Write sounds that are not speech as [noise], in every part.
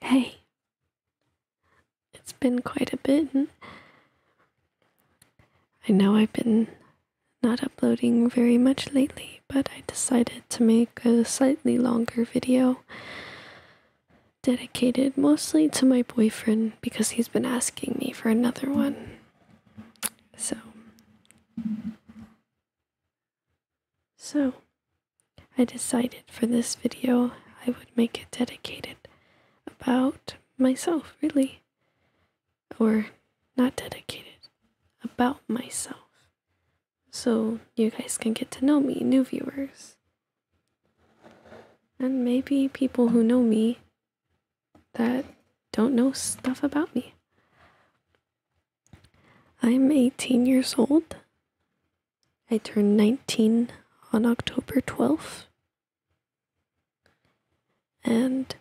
Hey, it's been quite a bit. I know I've been not uploading very much lately, but I decided to make a slightly longer video dedicated mostly to my boyfriend because he's been asking me for another one. So, so I decided for this video I would make it dedicated about myself, really. Or not dedicated, about myself. So you guys can get to know me, new viewers. And maybe people who know me that don't know stuff about me. I'm 18 years old. I turned 19 on October 12th. And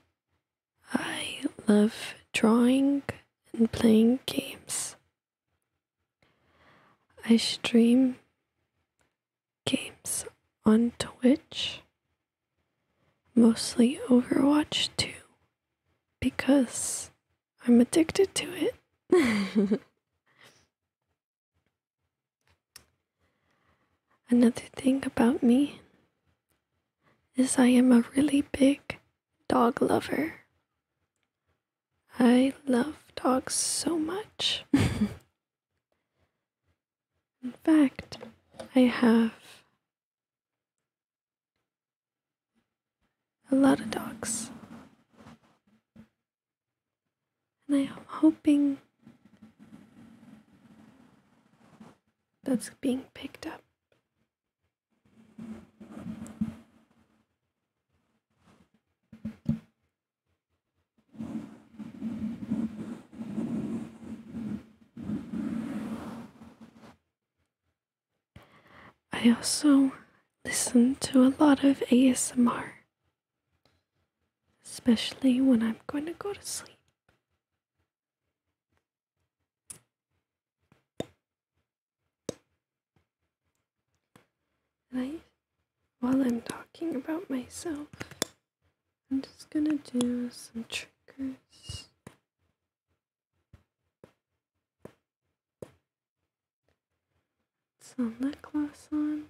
I love drawing and playing games. I stream games on Twitch, mostly Overwatch 2, because I'm addicted to it. [laughs] Another thing about me is I am a really big dog lover. I love dogs so much. [laughs] In fact, I have a lot of dogs. And I'm hoping that's being picked up. I also listen to a lot of ASMR, especially when I'm going to go to sleep. And while I'm talking about myself, I'm just gonna do some triggers some lip gloss on.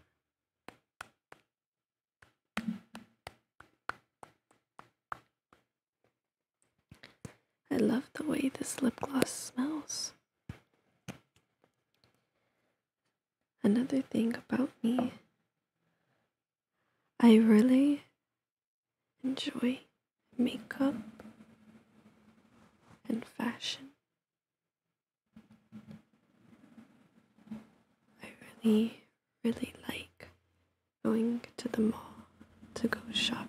I love the way this lip gloss smells. Another thing about me, I really enjoy makeup and fashion. I really, really like going to the mall to go shopping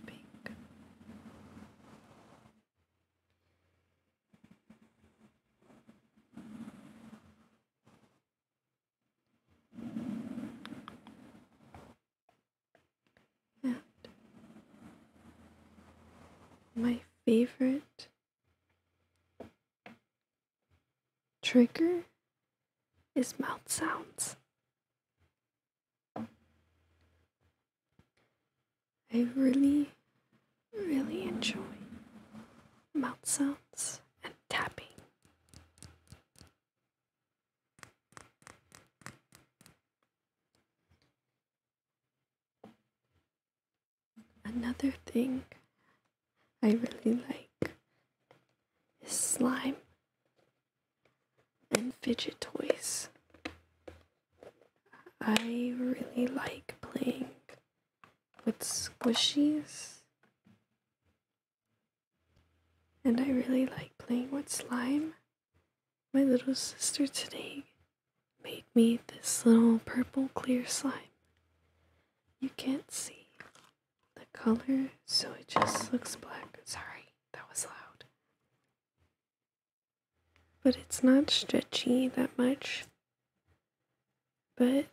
my favorite trigger is mouth sounds. I really, really enjoy mouth sounds and tapping. Another thing I really like is slime and fidget toys. I really like playing with squishies. And I really like playing with slime my little sister today made me this little purple clear slime. You can't see the color, so it just looks black. Sorry, that was loud. But it's not stretchy that much. But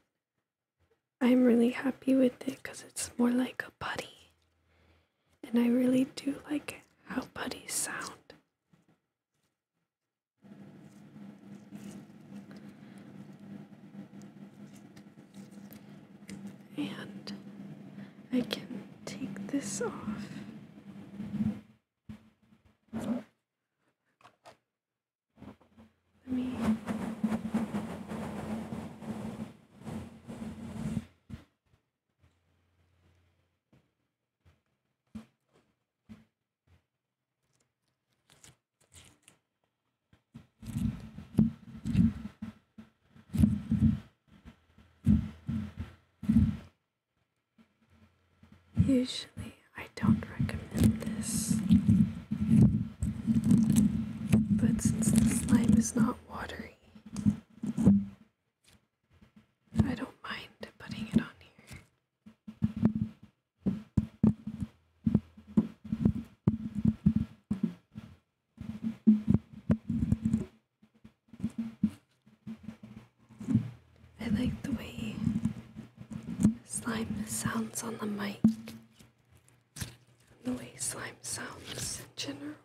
I'm really happy with it because it's more like a putty. And I really do like how putties sound. And I can take this off. Let me Usually, I don't recommend this, but since the slime is not watery, I don't mind putting it on here. I like the way slime sounds on the mic, and the way slime sounds in general.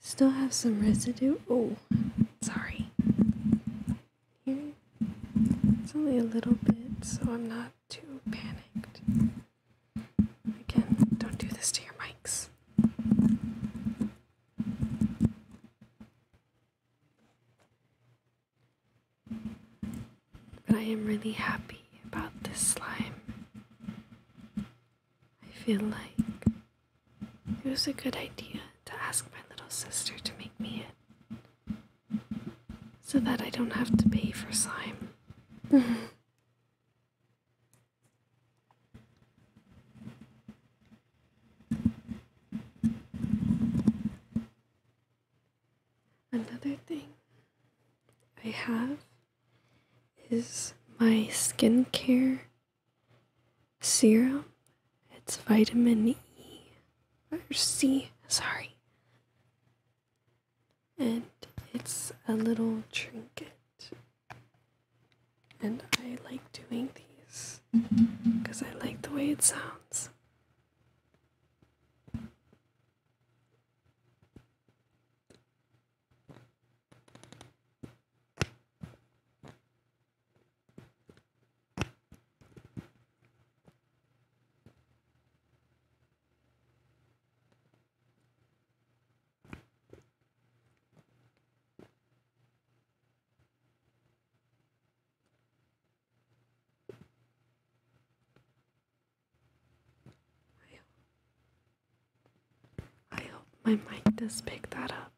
Still have some residue. Oh, sorry. Here, it's only a little bit, so I'm not too panicked. Again, don't do this to your mics. I am really happy about this slime. I feel like it was a good idea to ask my little sister to make me it so that I don't have to pay for slime. [laughs] Another thing I have is my skincare serum. It's vitamin E or C, sorry. And it's a little trinket. And I like doing these because I like the way it sounds. I hope, my mic does pick that up.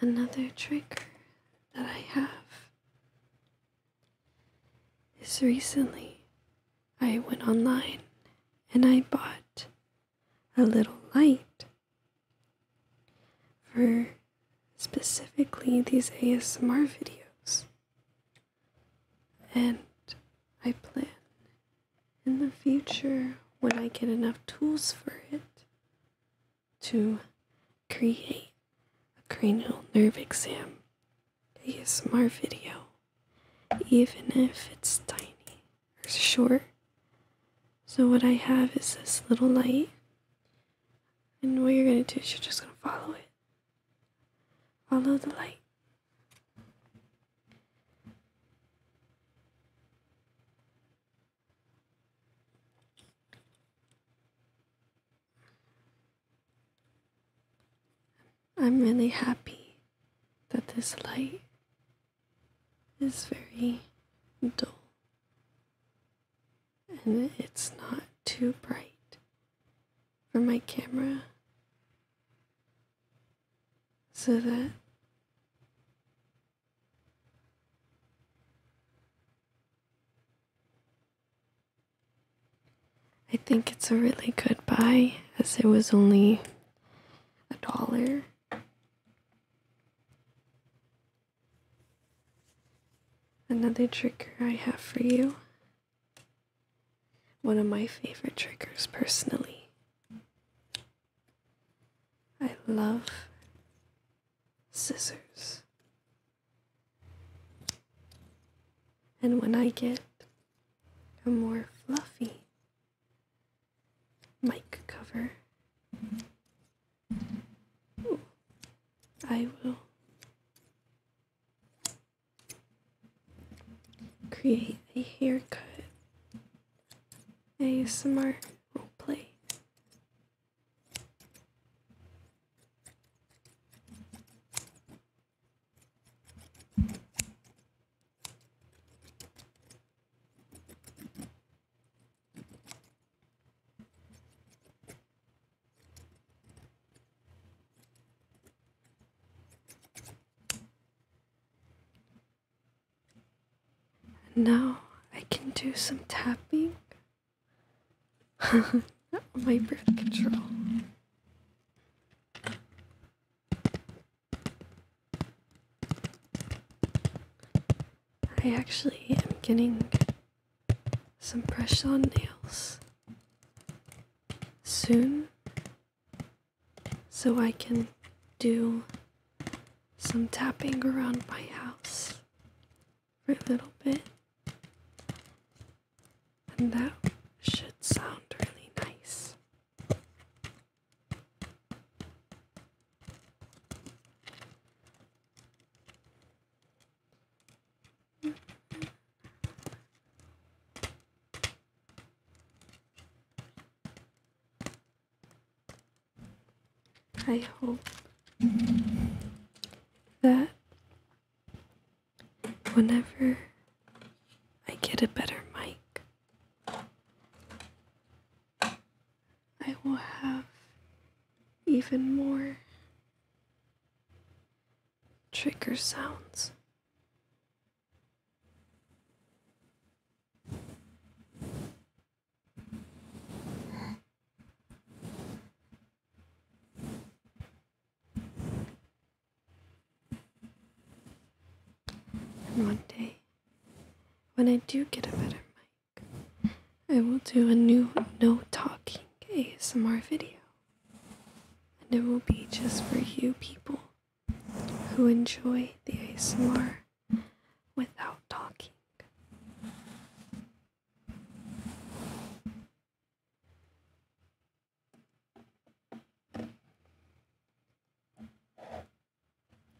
Another trigger that I have is recently I went online and I bought a little light for specifically these ASMR videos. And I plan in the future when I get enough tools for it to create a cranial nerve exam ASMR video, even if it's tiny short. So what I have is this little light. And what you're gonna do is you're just gonna follow it. Follow the light. I'm really happy that this light it's very dull and it's not too bright for my camera so that I think it's a really good buy as it was only a dollar Another trigger I have for you, one of my favorite triggers personally. I love scissors. And when I get a more fluffy mic cover. I will create a haircut A ASMR play. Now I can do some tapping [laughs] my breath control. I actually am getting some brush on nails soon so I can do some tapping around my house for a little bit. And that should sound really nice. I hope that whenever I get a better mic, I will have even more trigger sounds. one day, when I do get a better mic, I will do a new no talking ASMR video. And it will be just for you people who enjoy the ASMR without talking.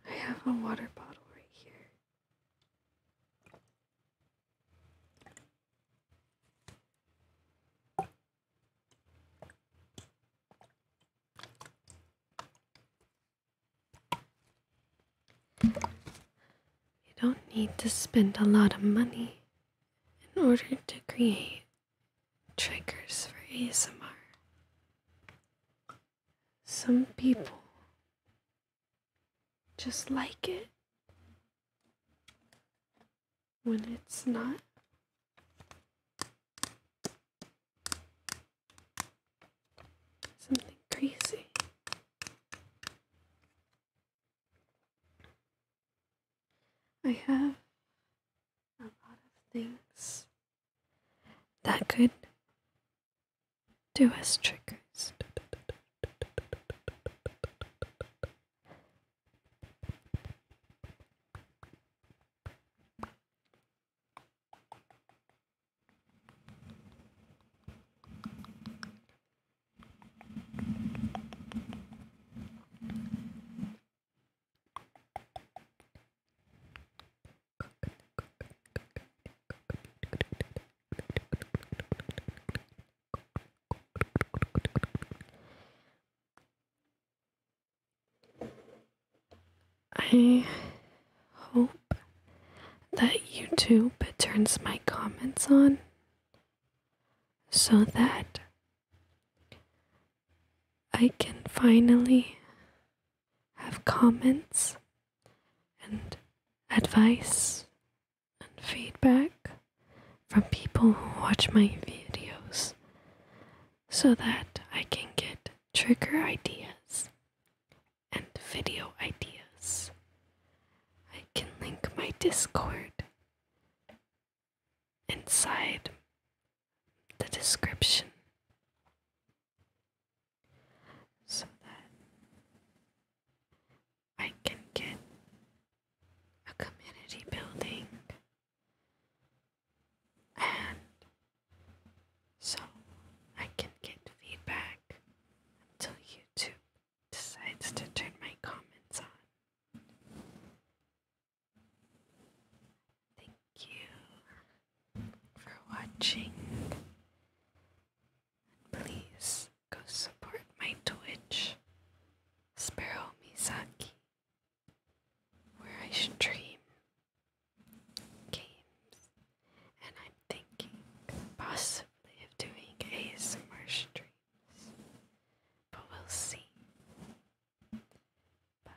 I have a water bottle right here. You don't need to spend a lot of money in order to create triggers for ASMR some people just like it when it's not. Something crazy. I have a lot of things that could do us triggers. I hope that YouTube turns my comments on so that I can finally have comments and advice and feedback from people who watch my videos so that I can get trigger ideas and video ideas. I can link my Discord inside the description so that I can get a community building and so I can get feedback until YouTube decides to turn my comments on. Thank you for watching. please go support my Twitch, Sparrow Misaki, where I stream games. And I'm thinking possibly of doing ASMR streams, but we'll see. Bye.